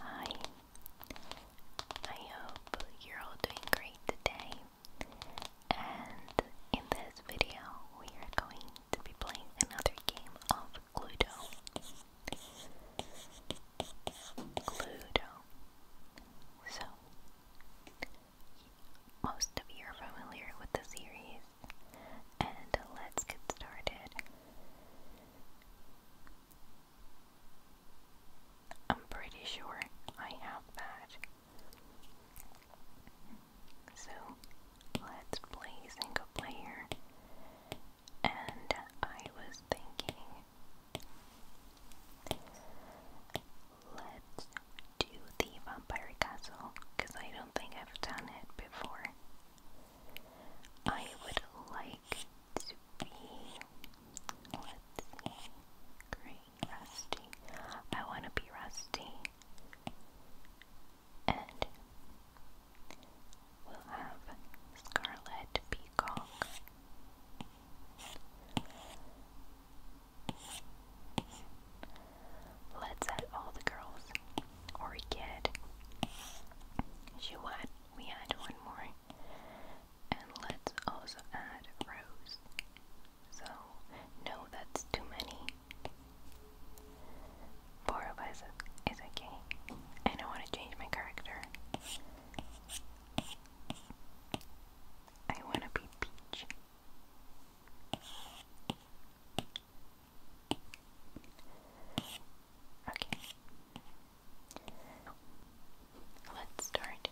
Hi, I hope you're all doing great today. And in this video, we are going to be playing another game of Cluedo. Cluedo. So, most of you are familiar with the series, and let's get started. I'm pretty sure I have that. So let's play single player. And I was thinking, let's do the Vampire Castle because I don't think I've done it before. I would like to be, let rusty. I want to be rusty. And we'll have Scarlet Peacock. Let's add all the girls or She went we add one more. And let's also add rows. So, no, that's too many. Four of is okay. And I want to change my character. I want to be Peach. Okay. Let's start.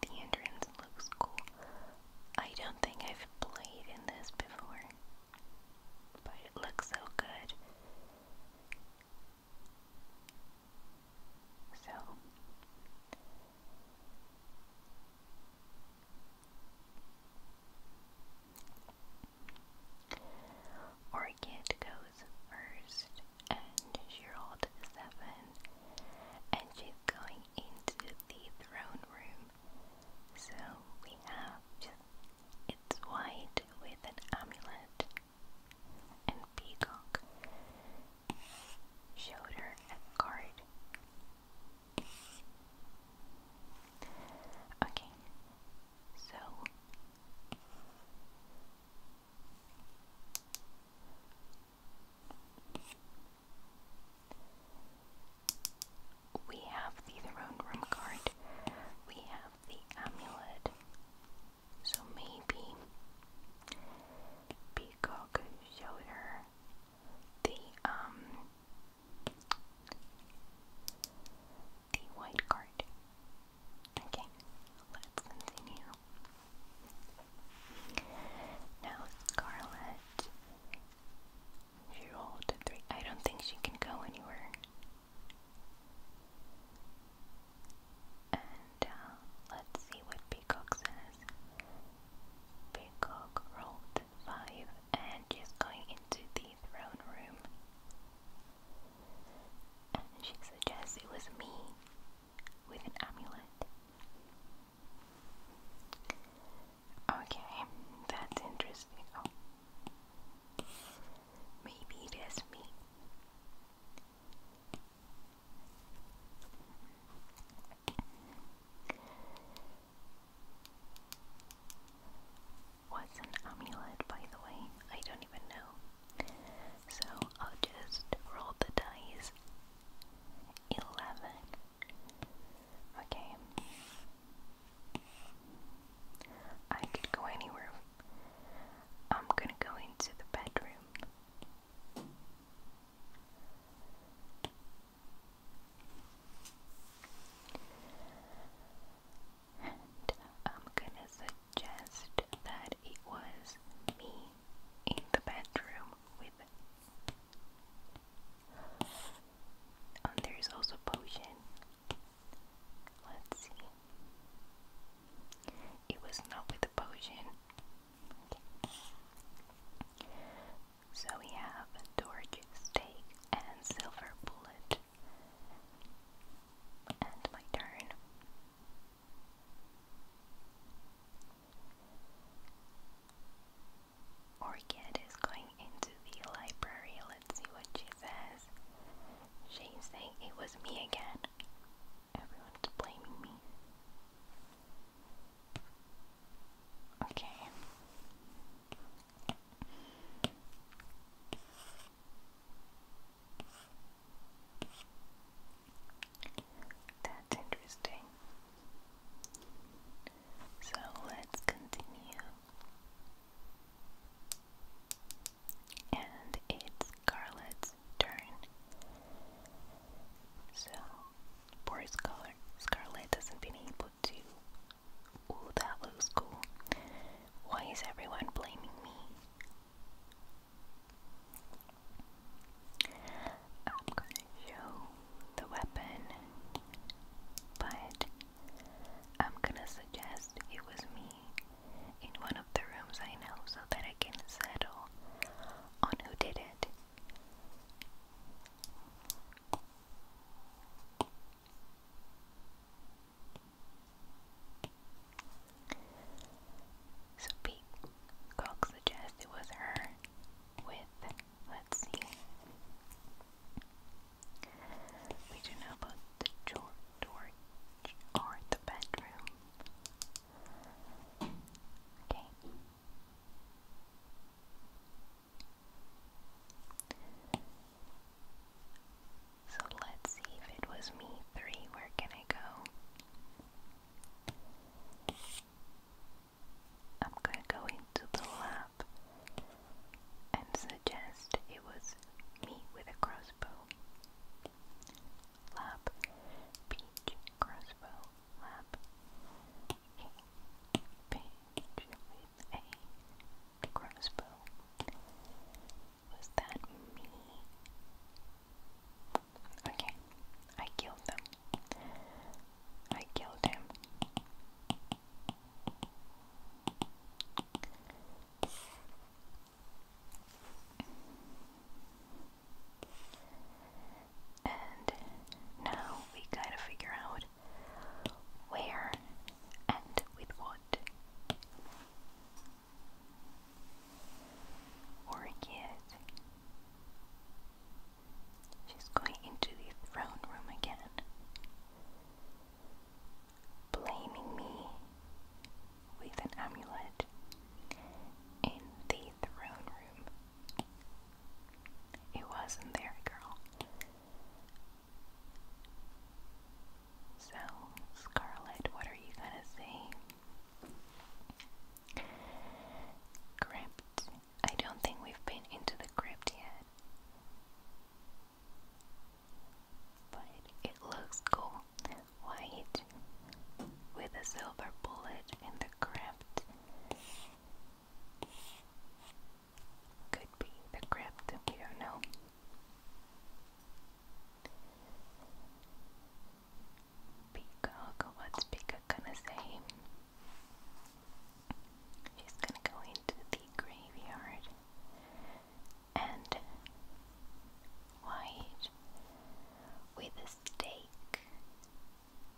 the entrance looks cool. I don't think I've played in this before, but it looks so good. So, Orchid goes first, and she seven, and she's going into the throne room. So we have just it's white with an amulet and peacock showed her a card. Okay, so we have the throne room card, we have the amulet, so maybe Peacock showed the um the white card. Okay, let's continue. Now Scarlet she rolled three. I don't think she can go anywhere. And uh, let's see what Peacock says Peacock rolled 5 and she's going into the throne room. And she suggests it was me with an amulet. Okay, that's interesting. Oh. Maybe it is me. What's an amulet, by the way? I don't even know. So I'll just roll the dice. 11. Okay. I could go anywhere. I'm gonna go into the bedroom. I'm gonna suggest that it was me in the bedroom with um, there is also potion. Let's see. It was not with the potion. So we have Dork Steak and Silver Bullet. And my turn. Orchid is going into the library. Let's see what she says. She's saying it was me again. Everyone's blaming me. Okay. That's interesting. So let's continue. And it's Scarlett's turn. So, poor Scar Scarlet hasn't been able to. Ooh, that looks cool. Why is everyone blaming me? I'm gonna show the weapon, but I'm gonna suggest it was me in one of the rooms I know so that I can settle on who did it. So Pete Cox suggests it was her with, let's see, we do know about the door, door or the bedroom. Okay. So let's see if it was me three. Where can I go? I'm gonna go into the lab and suggest it was me with a crossbow. Lab, beach, crossbow lap page with a crossbow. Was that me? Okay, I killed them. I killed him. And now we gotta figure out where and with what. Orchid. She's going into the throne room again. Blaming me with an amulet in the throne room. It wasn't there, girl. So, Scarlet, what are you gonna say? Crypt. I don't think we've been into the crypt yet. But it looks cool. White with a silver bullet in crypt could be the crypt, we don't know. Peacock, what's Peacock gonna say? She's gonna go into the graveyard and white with a stake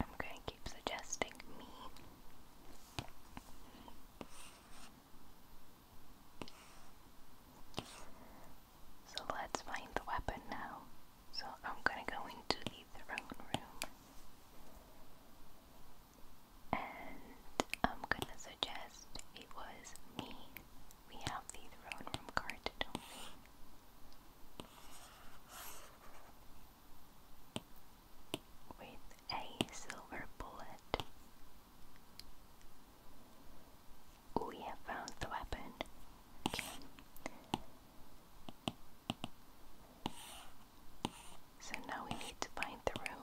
I'm going to keep suggesting me. So let's find the weapon now. So I'm gonna go into the throne room and I'm gonna suggest it was me. We have the throne room card, do with a silver bullet. We have found the weapon. So now we need to find the room.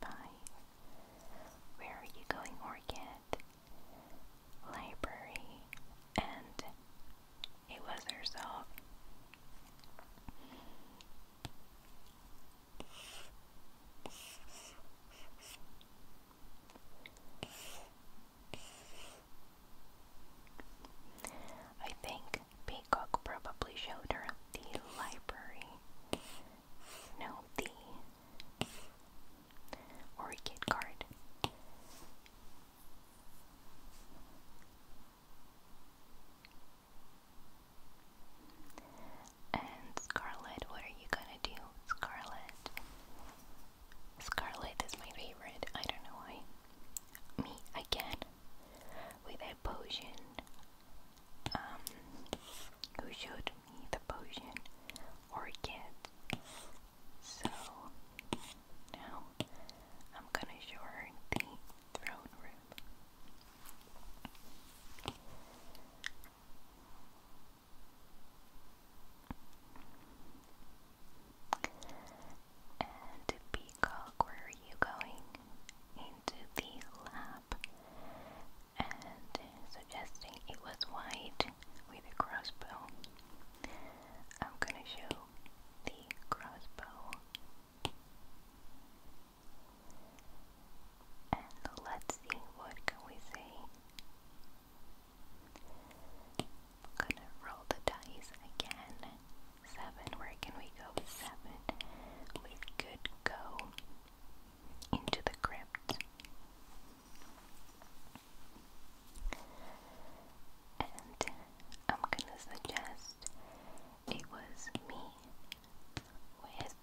Bye. Where are you going, Orchid? Library. And it was herself. I think Peacock probably showed her the library no, the Orchid card. And Scarlet, what are you gonna do? Scarlet. Scarlet is my favorite. I don't know why. Me again with a potion um, who showed me the potion or kid. So now I'm gonna show her the throne room. And Peacock, where are you going? Into the lab and suggesting it was white with a crossbow. I'm gonna show the crossbow. And let's see what can we say. gonna roll the dice again. Seven. Where can we go seven? With good go into the crypt. And I'm gonna suggest it was me with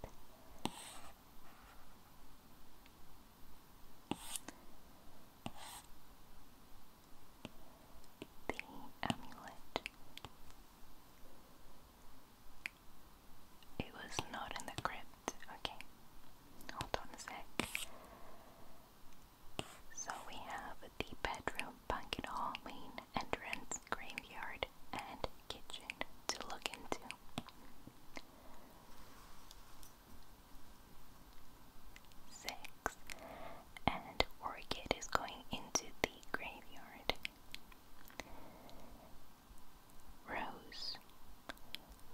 the amulet it was not in the crypt. Okay. Hold on a sec. So we have the bedroom, banquet hall, main entrance, graveyard, and kitchen to look into. Six. And Orchid is going into the graveyard. Rose,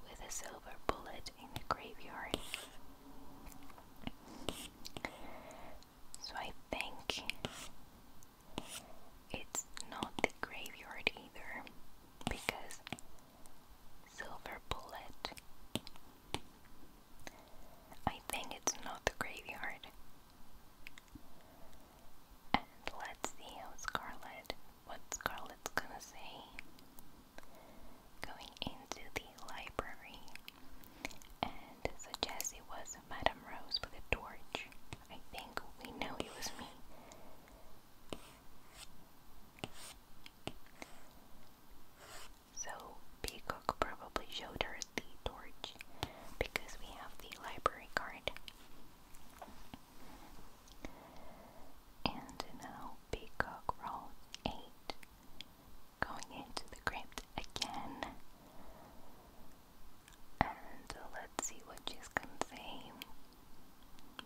with a silver bullet in the graveyard. So I think it's not the graveyard either, because silver bullet. I think it's not the graveyard. And let's see how Scarlet, what Scarlet's gonna say. Going into the library, and suggests it was Madame Rose with a torch. I think we know it was me. So, Peacock probably showed her the torch because we have the library card. And now Peacock rolls 8, going into the crypt again. And let's see what she's gonna say.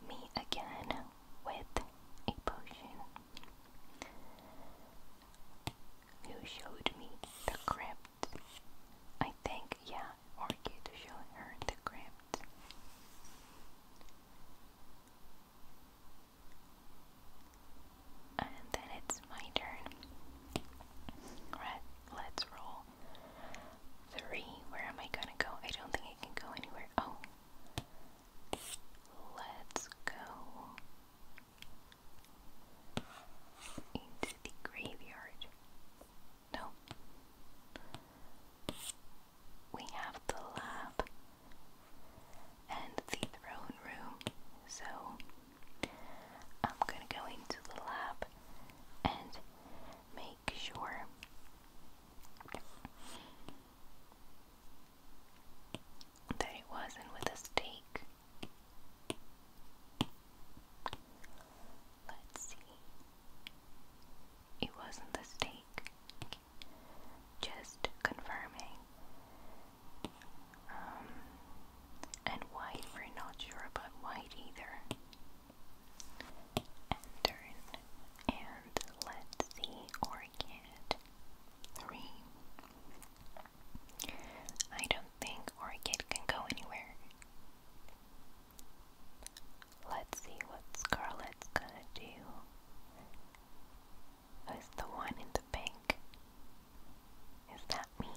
Me again with a potion. You showed me the crypt. I think, yeah, Orchid should earn the crypt. And then it's my turn. Right, let's roll. Three. Where am I gonna go? I don't think I can go anywhere. Oh. Let's go into the graveyard. No. We have the lab and the throne room, so I'm gonna go into the lab and make sure that it wasn't with a stake. Let's see. It wasn't the steak. Just confirming. Um, and white, we're not sure about white either. And turn. And let's see, orchid. Three. I don't think orchid can go anywhere. Let's see what Scarlett's gonna do. is the one in the pink? Is that me?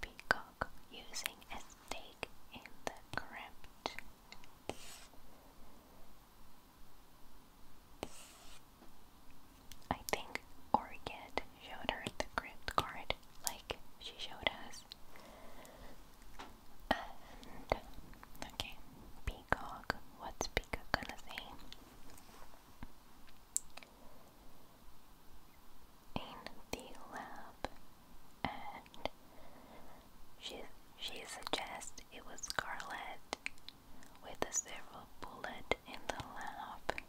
Peacock using a stake in the crypt. I think Orchid showed her the crypt card like she showed us. And okay, Peacock, what's Peacock gonna say? In the lab, and she she suggests it was Scarlet with a silver bullet in the lamp.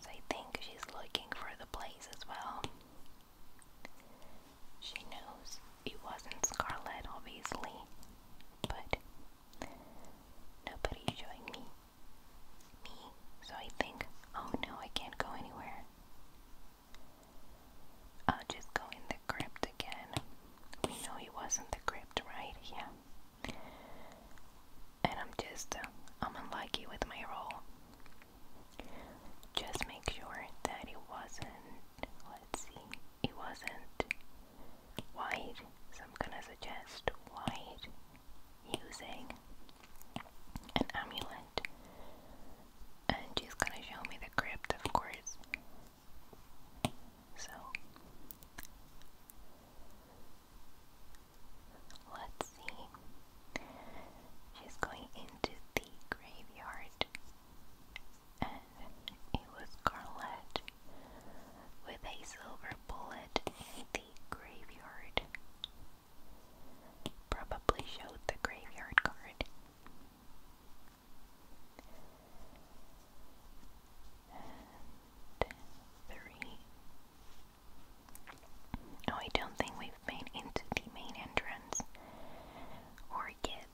So think she's looking for the place as well. She knows it wasn't Scarlet, obviously, but nobody's showing me. Me, so I think, oh no, I can't go anywhere. I'll just go in crypt again. We know he wasn't the crypt, right? Yeah. And I'm just, uh, I'm unlucky with my roll. Just make sure that he wasn't, let's see, it wasn't white. So I'm gonna suggest white using an amulet. And she's gonna show me the crypt, of course. So let's see. She's going into the graveyard, and it was Scarlet with a silver bullet in the graveyard. Probably showed the graveyard card three. Oh, I don't think we've made into the main entrance or yet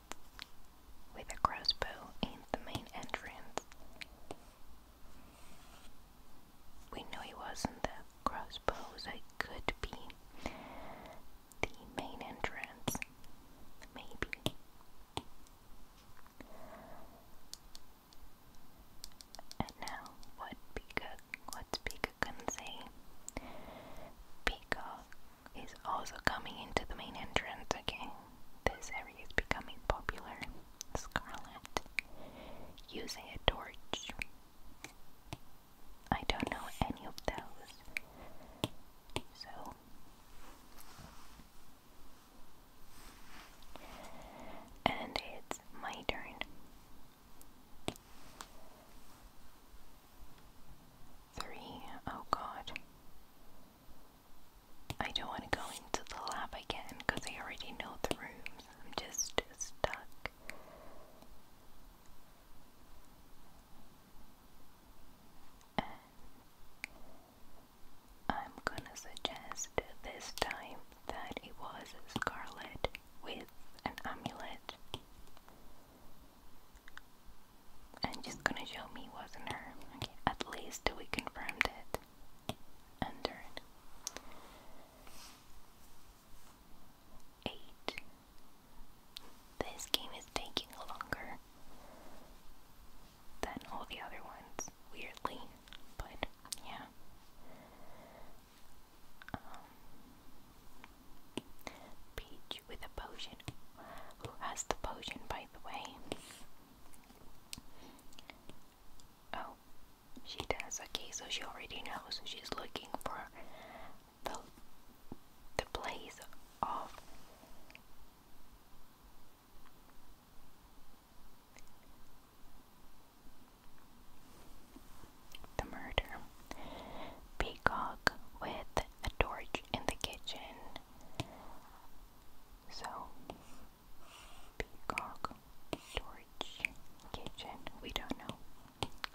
with a crossbow in the main entrance. We know he wasn't the crossbow, so it could be the main entrance. Maybe. And now, what peacock, what's peacocancy? Peacock is also coming into the main entrance, okay? This area is becoming popular. Scarlet using a torch. I don't know any of those. So and it's my turn. Three. Oh god. I don't want to go into the lab again because I already know the rooms. I'm just stuck. I'm gonna suggest this time that it was scarlet with an amulet. And she's gonna show me wasn't her. Okay, at least we confirmed it. Under it. Eight. This game is taking longer than all the other ones, weirdly. But yeah. Peach um, with a potion. Who has the potion, by the way? Oh, she does. Okay, so she already knows. She's looking for the the place of the murder. Peacock with a torch in the kitchen. So, peacock, torch, kitchen. We don't know.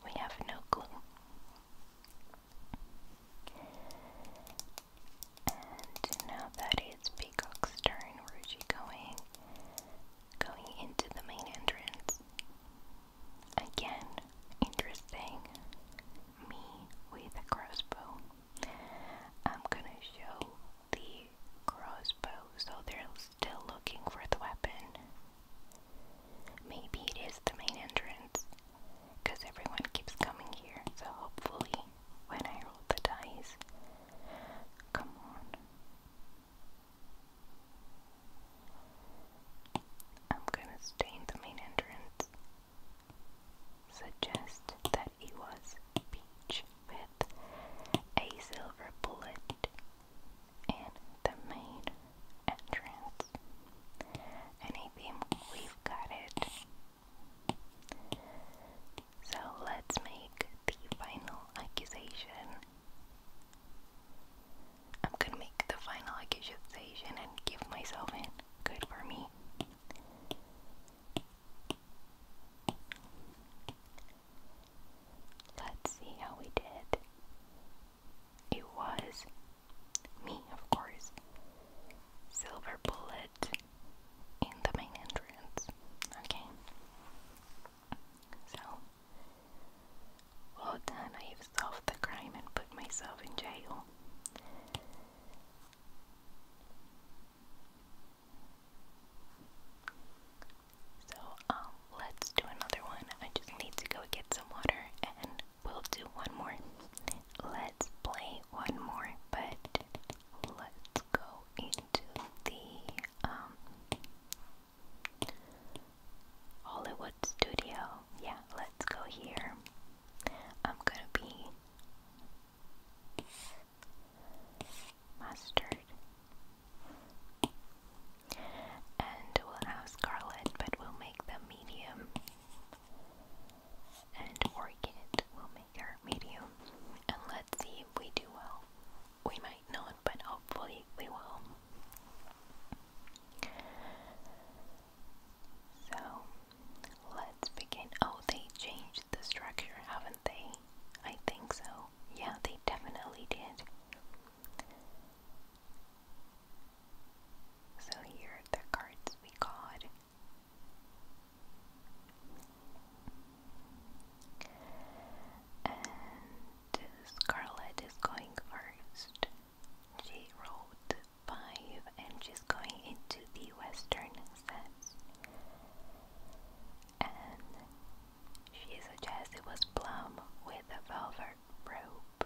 We have no clue. And now that is Peacock's turn, Rougie going going into the main entrance. Again, interesting. Me with a crossbow. I'm gonna show the crossbow, so they're still looking for the weapon. Maybe it is the main entrance because everyone keeps coming here. So hopefully, when I roll the dice, come on. I'm gonna stay in the main entrance. Suggest that it was Peach with a silver bullet in the main entrance anything, we've got it. So let's make the final accusation. I'm gonna make the final accusation and give myself in. Good for me. Let's see how we did. It was me, of course. Silver bullet in the main entrance. Okay. So, well done. I have solved the crime and put myself in jail. So, um, let's do another one. I just need to go get some water and We'll do one more. Let's play one more, but let's go into the um Hollywood studio. Yeah, let's go here. I'm gonna be mustard. And we'll have scarlet, but we'll make them medium and orchid will make our medium. And let's see if we do well. We might not, but hopefully we will. So let's begin. Oh, they changed the structure, haven't they? I think so. Yeah, they definitely did. So here are the cards we got. And Scarlett is going first. She rolled 5 and she's going into the western sets. And she suggests it was plum with a velvet rope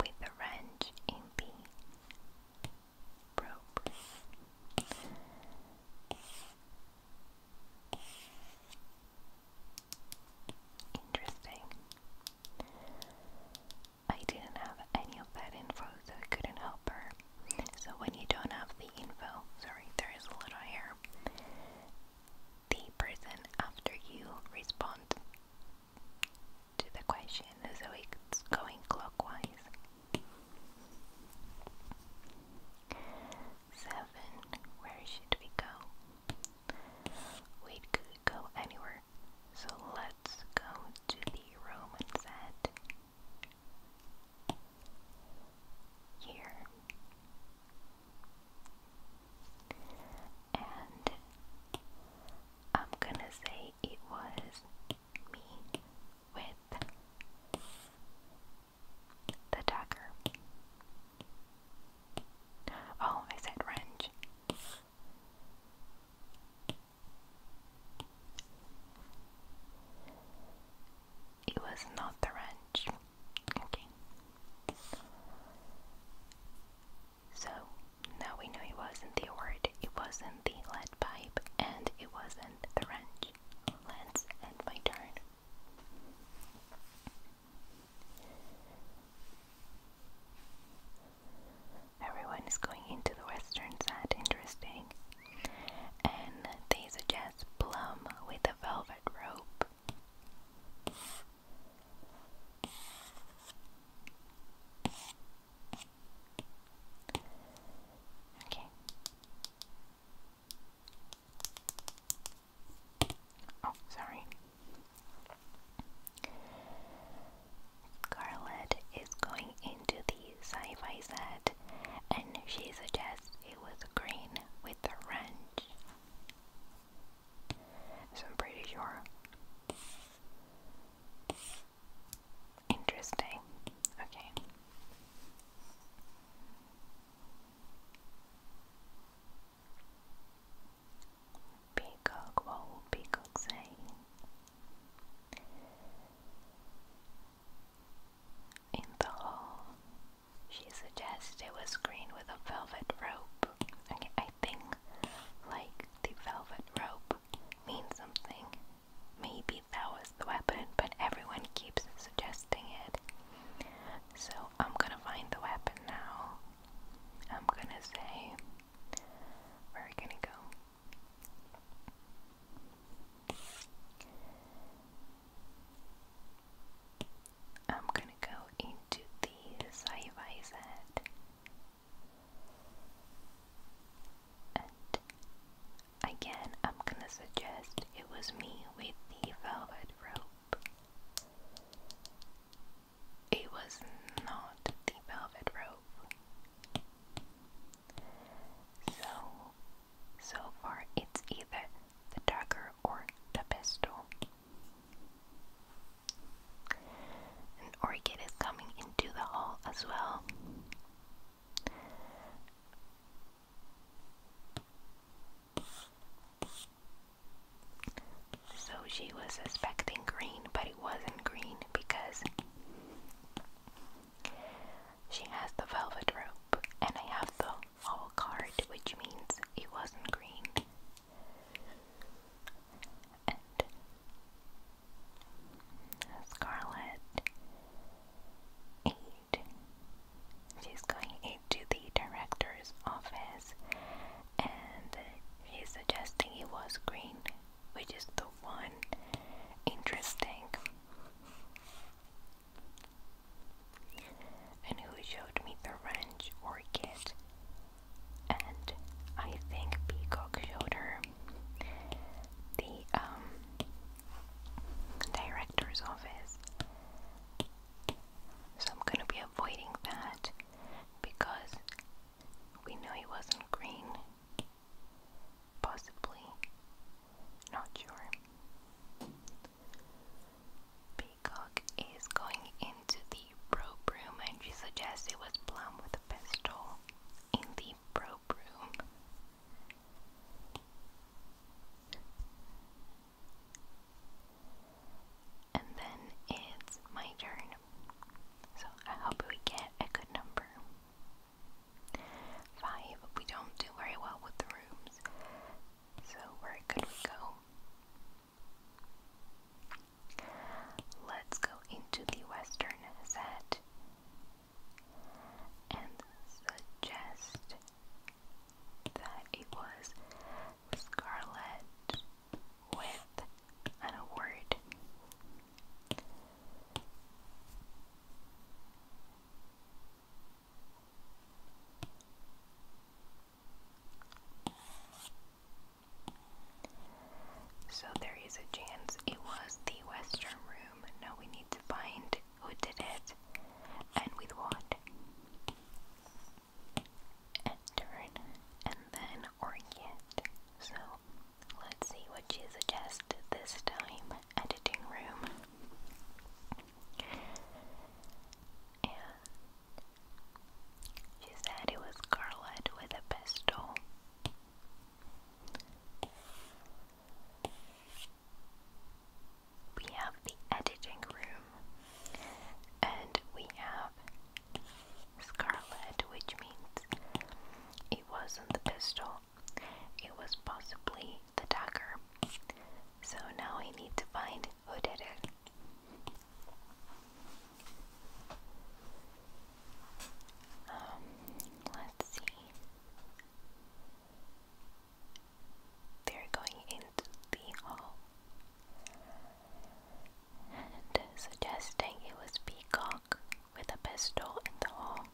with the wrench in the probe. Interesting. I didn't have any of that info, so I couldn't help her. So when you don't have the info, sorry, there is a little hair the person after you responds to the question, so it's going clockwise. Seven, where should we go? We could go anywhere, so let's go to the Roman set. Here and I'm gonna say it was me with the dagger. Oh, I said wrench. It was not the wrench. Okay. So now we know it wasn't the word, it wasn't the lead pipe, and it wasn't the wrench. Let's my turn. Everyone is going into the western side, interesting. And they suggest plum with a velvet rope. Okay. Oh, sorry. Scarlett is going into the sci-fi set and she suggests it was green with a orange. So I'm pretty sure. Interesting. Okay. Peacock, what In the hall, she suggested it was green with a velvet rope. Okay, I think like the velvet rope means something. Maybe that was the weapon, but everyone keeps suggesting it. So I'm gonna find the weapon now. I'm gonna say, where are we gonna go? I'm gonna go into the side by and again, I'm gonna suggest it was me with the velvet rope. It was not the velvet rope. So, so far, it's either the dagger or the pistol. An orchid is coming into the hall as well. So she was suspecting green, but it wasn't green because she has the velvet robe, and I have the hall card, which means it wasn't green. Scarlet 8. She's going into the director's office and he's suggesting it was green, which is the one interesting. And who showed me the wrench orchid? and I think Peacock showed the um, director's office. So I'm gonna be avoiding that because we know he wasn't green. Possibly. Not sure peacock is going into the probe room and she suggests it was plum with a pistol in the probe room. And then it's my turn. So I hope we get a good number. Five. We don't do very well with the rooms. So where could we go? Let's go into the western set and suggest that it was Scarlet with an award. So there is a chance it was the western room. Now we need to find who did it and with what. Etern and then Orient. So let's see what she suggests this time. Editing room and she said it was Scarlet with a pistol. We have the editing room, and we have Scarlet, which means it wasn't the pistol, it was possibly the dagger. So now I need to find who did it. Um, let's see. They're going into the hall and suggesting it was Peacock with a pistol in the hall.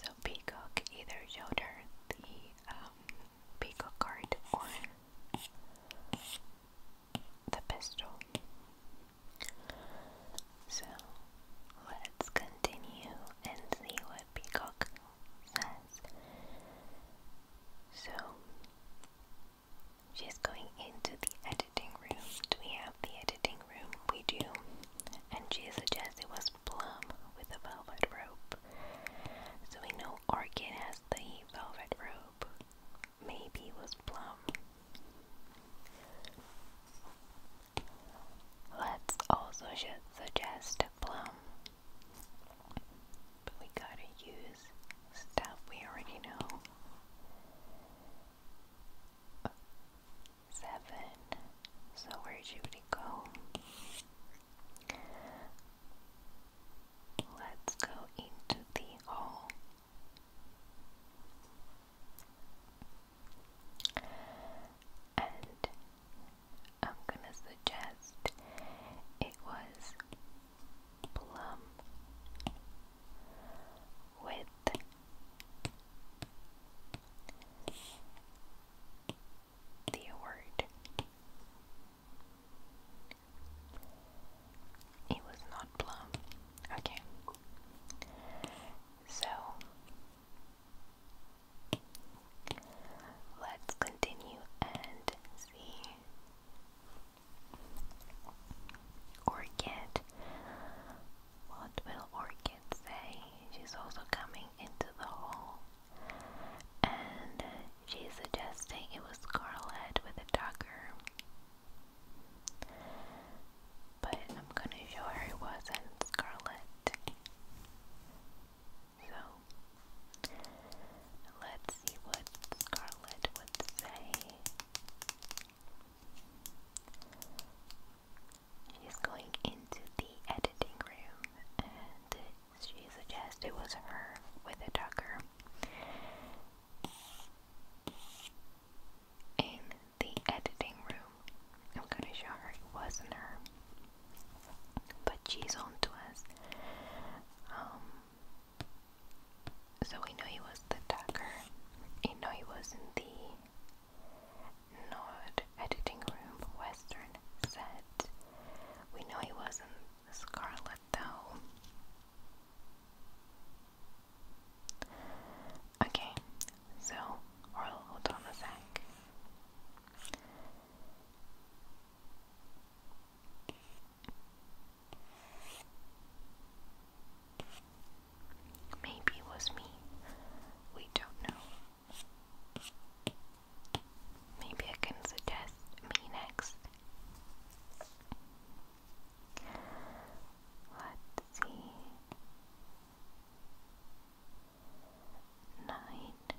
So Peacock either showed her the um, Peacock card or the pistol. So let's continue and see what Peacock says. So she's going into the do we have the editing room? We do. And she suggests it was plum with a velvet rope. So we know Orchid has the velvet rope. Maybe it was plum. Let's also suggest plum. But we gotta use stuff we already know seven. So where did Judy go? Let's go into the hall. And I'm gonna suggest it was plum with the award. It was not plum. Okay. So let's continue and see or get what will orchid say she's also coming into the hall, and she's suggesting it was Scarlet with a dagger. But I'm gonna show her it wasn't Scarlet. So let's see what Scarlet would say. She's going into the editing room and she suggested it was her with a tucker. In the editing room, I'm gonna show her it wasn't her, but she's on us. Um, so we know he was the tucker, we know he wasn't the Nord editing room western set. We know he wasn't Scarlet though. Okay, so Orl, hold on a sec. Maybe it was me. We don't know. Maybe I can suggest me next. Let's see. Nine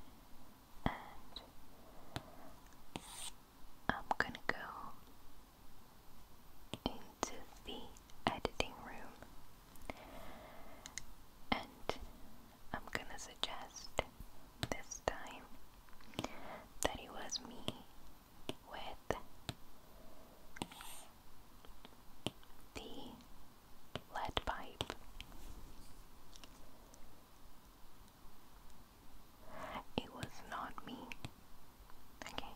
and I'm gonna go in into the editing room. And I'm gonna suggest this time that it was me with the lead pipe. It was not me Okay,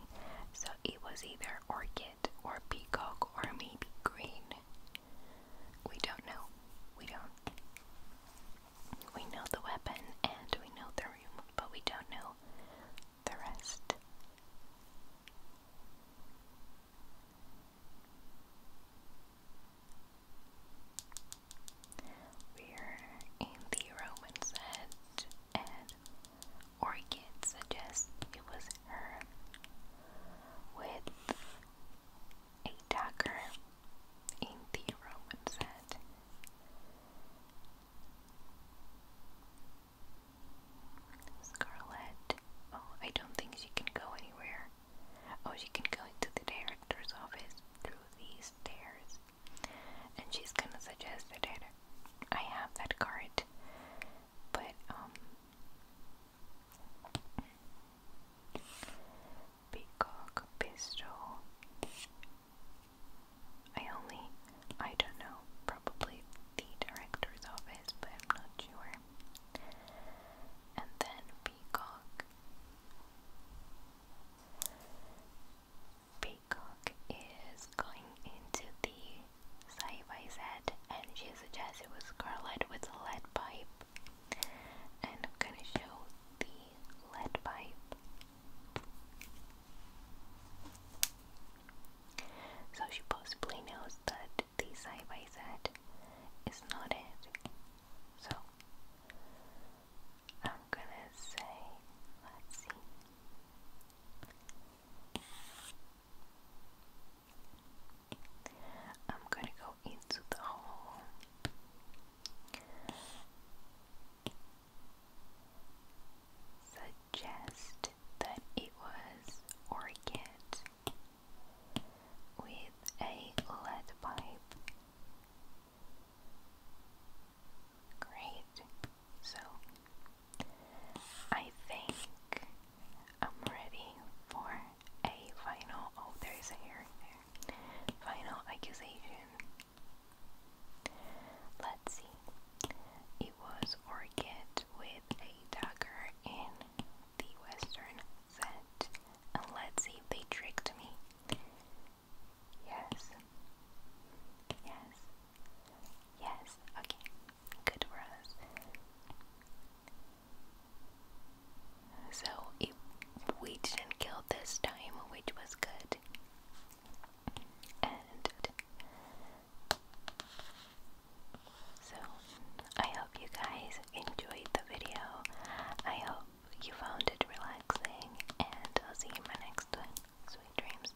so it was either orchid or peacock or maybe green. We don't know. We don't. We know the weapon and we know the room, but we don't know the rest. We're in the Roman's head, Orchid suggests it was her with a dagger in the Roman set. Scarlet. Oh, I don't think she can go anywhere. Oh, she can go into the director's office through these stairs. And she's gonna suggest that I have that card but um, peacock pistol I only I don't know probably the director's office but I'm not sure and then peacock peacock is going into the Side by side, and she suggests it was Scarlet with a lead pipe. And I'm gonna show the lead pipe. So she possibly knows that the side by side is not it. So I'm gonna say, let's see. I'm gonna go into the hole. Suggest that it was orchid with a lead pipe. Great. So I think I'm ready for a final. Oh, there is a hair Final accusation. Let's see. It was Orchid with a dagger in the western set. let's see if they tricked me. Yes. Yes. Yes. Okay good for us. So we didn't kill this time, which was good. so I hope you guys enjoyed the video. I hope you found it relaxing, and I'll see you in my next one. Sweet dreams.